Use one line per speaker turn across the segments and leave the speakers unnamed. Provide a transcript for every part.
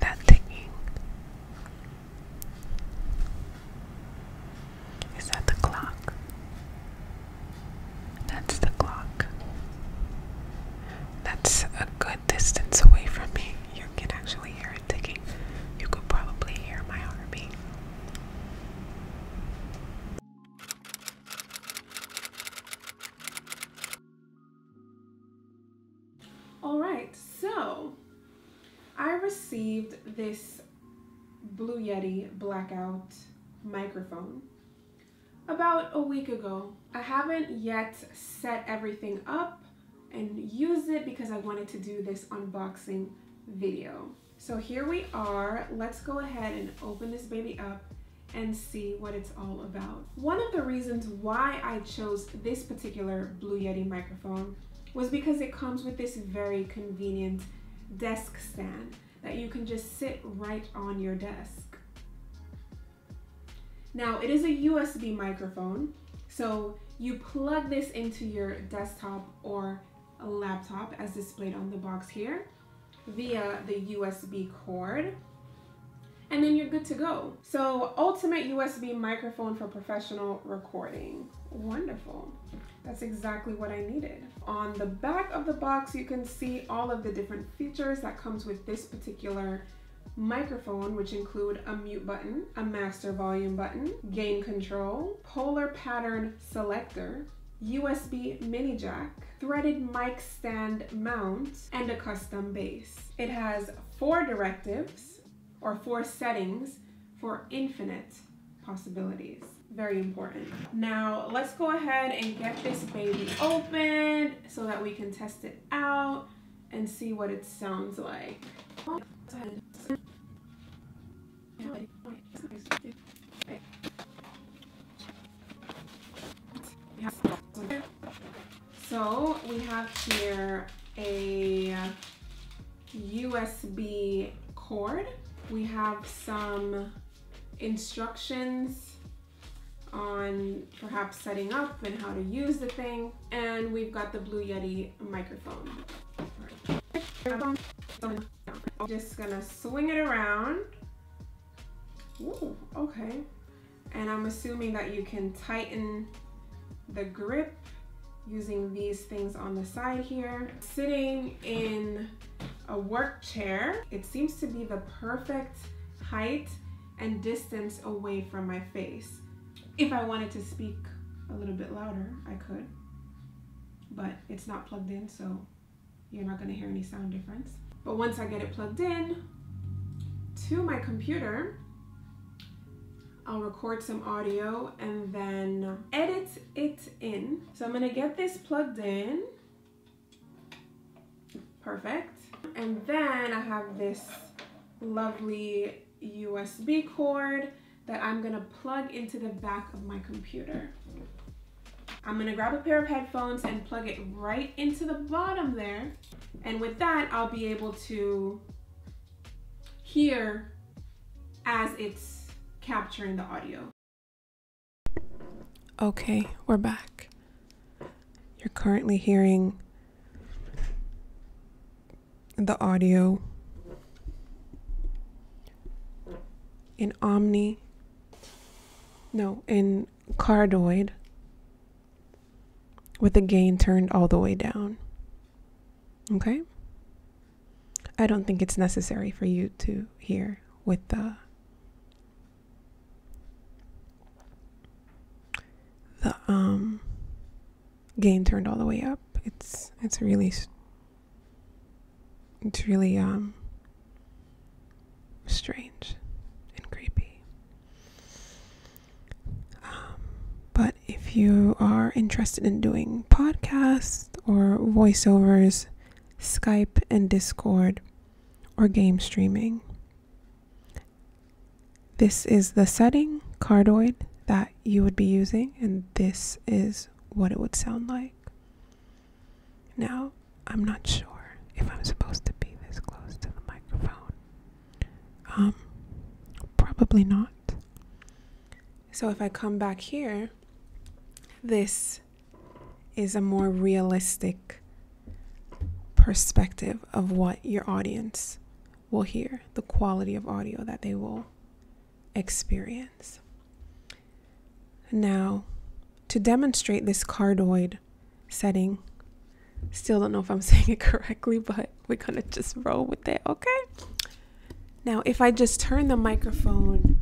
that ticking. Is that the clock? That's the clock. That's a good distance away from me. You can actually hear it ticking. You could probably hear my heartbeat. All right, so I received this Blue Yeti blackout microphone about a week ago. I haven't yet set everything up and used it because I wanted to do this unboxing video. So here we are. Let's go ahead and open this baby up and see what it's all about. One of the reasons why I chose this particular Blue Yeti microphone was because it comes with this very convenient desk stand that you can just sit right on your desk. Now it is a USB microphone, so you plug this into your desktop or laptop as displayed on the box here via the USB cord and then you're good to go. So ultimate USB microphone for professional recording. Wonderful. That's exactly what I needed. On the back of the box, you can see all of the different features that comes with this particular microphone, which include a mute button, a master volume button, gain control, polar pattern selector, USB mini jack, threaded mic stand mount and a custom base. It has four directives or four settings for infinite possibilities. Very important. Now let's go ahead and get this baby open so that we can test it out and see what it sounds like. So we have here a USB cord. We have some instructions on perhaps setting up and how to use the thing. And we've got the Blue Yeti microphone. I'm just gonna swing it around okay. And I'm assuming that you can tighten the grip using these things on the side here. Sitting in a work chair, it seems to be the perfect height and distance away from my face. If I wanted to speak a little bit louder, I could, but it's not plugged in, so you're not gonna hear any sound difference. But once I get it plugged in to my computer, I'll record some audio and then edit it in. So I'm gonna get this plugged in. Perfect. And then I have this lovely USB cord that I'm gonna plug into the back of my computer. I'm gonna grab a pair of headphones and plug it right into the bottom there. And with that, I'll be able to hear as it's capturing the audio. Okay, we're back. You're currently hearing the audio in Omni. No, in cardioid with the gain turned all the way down. Okay? I don't think it's necessary for you to hear with the the um gain turned all the way up. It's it's really it's really um, strange and creepy. Um, but if you are interested in doing podcasts or voiceovers, Skype and Discord, or game streaming, this is the setting cardioid that you would be using, and this is what it would sound like. Now, I'm not sure if I'm supposed to be this close to the microphone. Um, probably not. So if I come back here, this is a more realistic perspective of what your audience will hear, the quality of audio that they will experience. Now, to demonstrate this cardioid setting, still don't know if I'm saying it correctly, but we're gonna just roll with it, okay? Now, if I just turn the microphone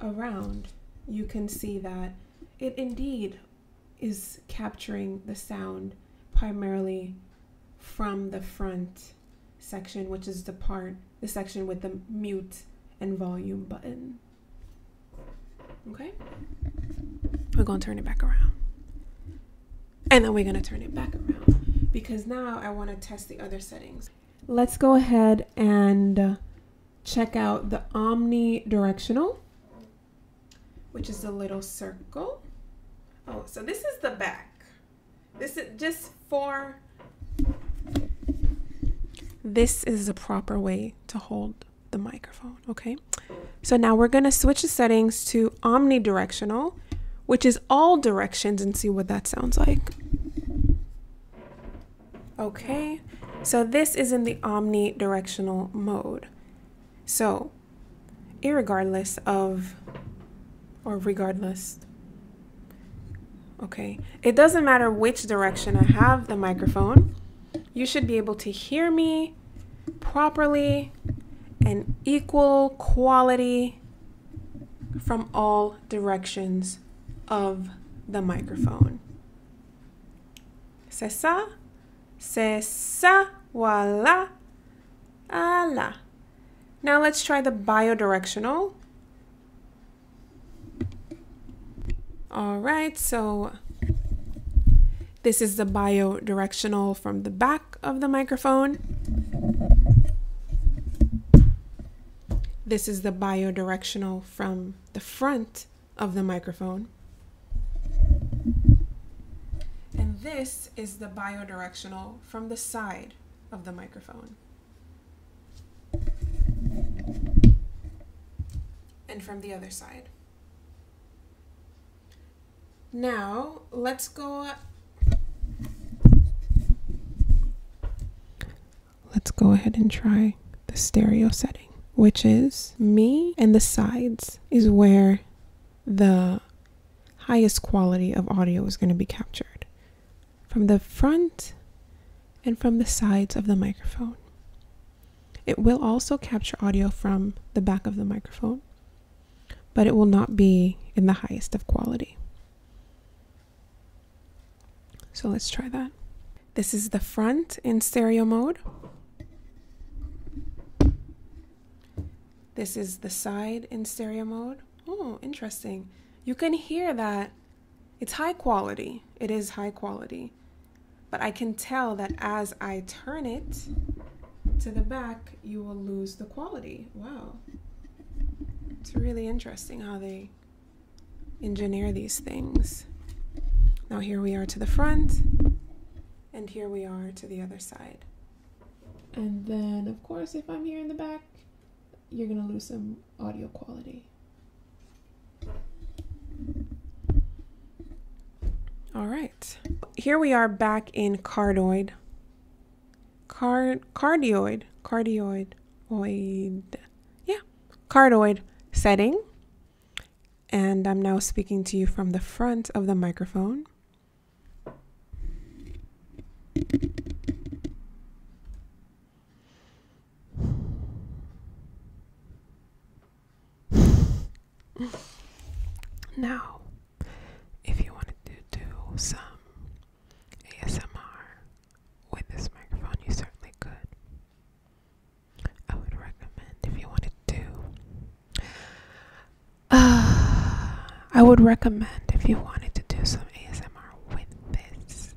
around, you can see that it indeed is capturing the sound primarily from the front section, which is the part, the section with the mute and volume button. Okay? We're going to turn it back around. And then we're going to turn it back around because now I want to test the other settings. Let's go ahead and uh, check out the omnidirectional, which is the little circle. Oh, so this is the back. This is just for this is the proper way to hold the microphone, okay? So now we're gonna switch the settings to omnidirectional, which is all directions and see what that sounds like. Okay, so this is in the omnidirectional mode. So, regardless of, or regardless Okay, it doesn't matter which direction I have the microphone, you should be able to hear me properly and equal quality from all directions of the microphone. C'est ça? C'est ça? Now let's try the bi-directional. All right, so this is the bi-directional from the back of the microphone. This is the bi-directional from the front of the microphone. And this is the bi-directional from the side of the microphone. And from the other side. Now, let's go Let's go ahead and try the stereo setting, which is me and the sides is where the highest quality of audio is going to be captured from the front and from the sides of the microphone. It will also capture audio from the back of the microphone, but it will not be in the highest of quality. So let's try that. This is the front in stereo mode. This is the side in stereo mode. Oh, interesting. You can hear that it's high quality. It is high quality. But I can tell that as I turn it to the back, you will lose the quality. Wow. It's really interesting how they engineer these things. Now here we are to the front, and here we are to the other side. And then, of course, if I'm here in the back, you're going to lose some audio quality. All right. Here we are back in cardioid. Card cardioid, cardioid, oid. Yeah, cardioid setting. And I'm now speaking to you from the front of the microphone. Now, if you wanted to do some ASMR with this microphone, you certainly could. I would recommend if you wanted to. Uh, I would recommend if you wanted to do some ASMR with this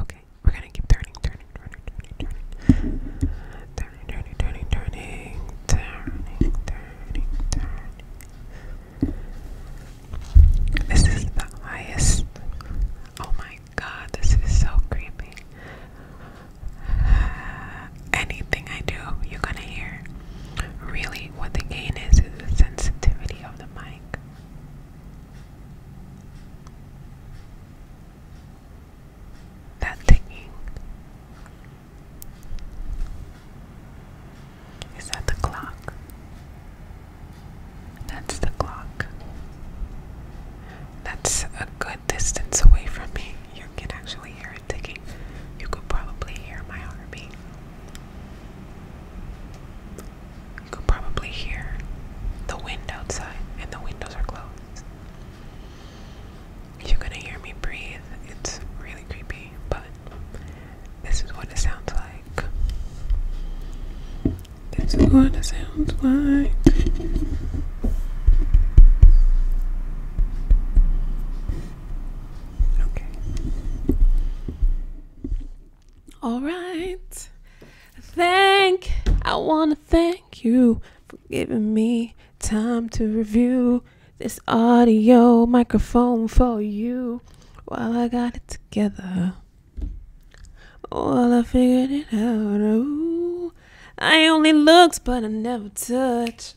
Okay, we're gonna keep turning, turning, turning, turning, turning, turning, turning, turning, turning, turning, This is the highest. Oh my god, this is so creepy. anything I do, you're gonna hear. Really, what the gain is is the sensitivity of the mic. That thinking. Is that the clock? That's the clock. That's a good distance away from me. You can actually hear it ticking. You could probably hear my heartbeat. You can probably hear the wind outside, and the windows are closed. You're gonna hear me breathe. It's really creepy, but this is what it sounds like. This is what it sounds like. Okay. All right. Thank, I want to thank you for giving me time to review this audio microphone for you while I got it together. While I figured it out, ooh, I only looked, but I never touched.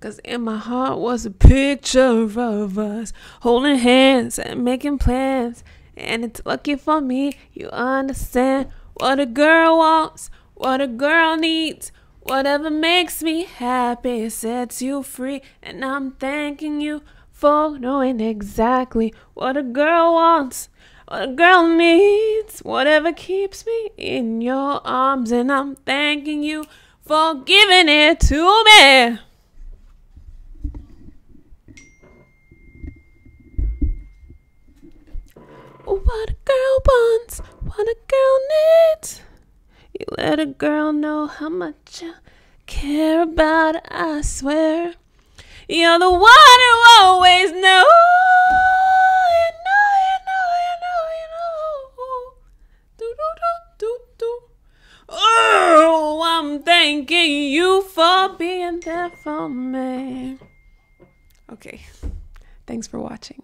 Cause in my heart was a picture of us holding hands and making plans. And it's lucky for me, you understand what a girl wants, what a girl needs. Whatever makes me happy sets you free, and I'm thanking you for knowing exactly what a girl wants, what a girl needs, whatever keeps me in your arms, and I'm thanking you for giving it to me. What a girl wants, what a girl needs. You let a girl know how much you care about I swear. You're the one who always knows. You know, you know, you know, you know oh, I'm thanking you for being there for me. Okay, thanks for watching.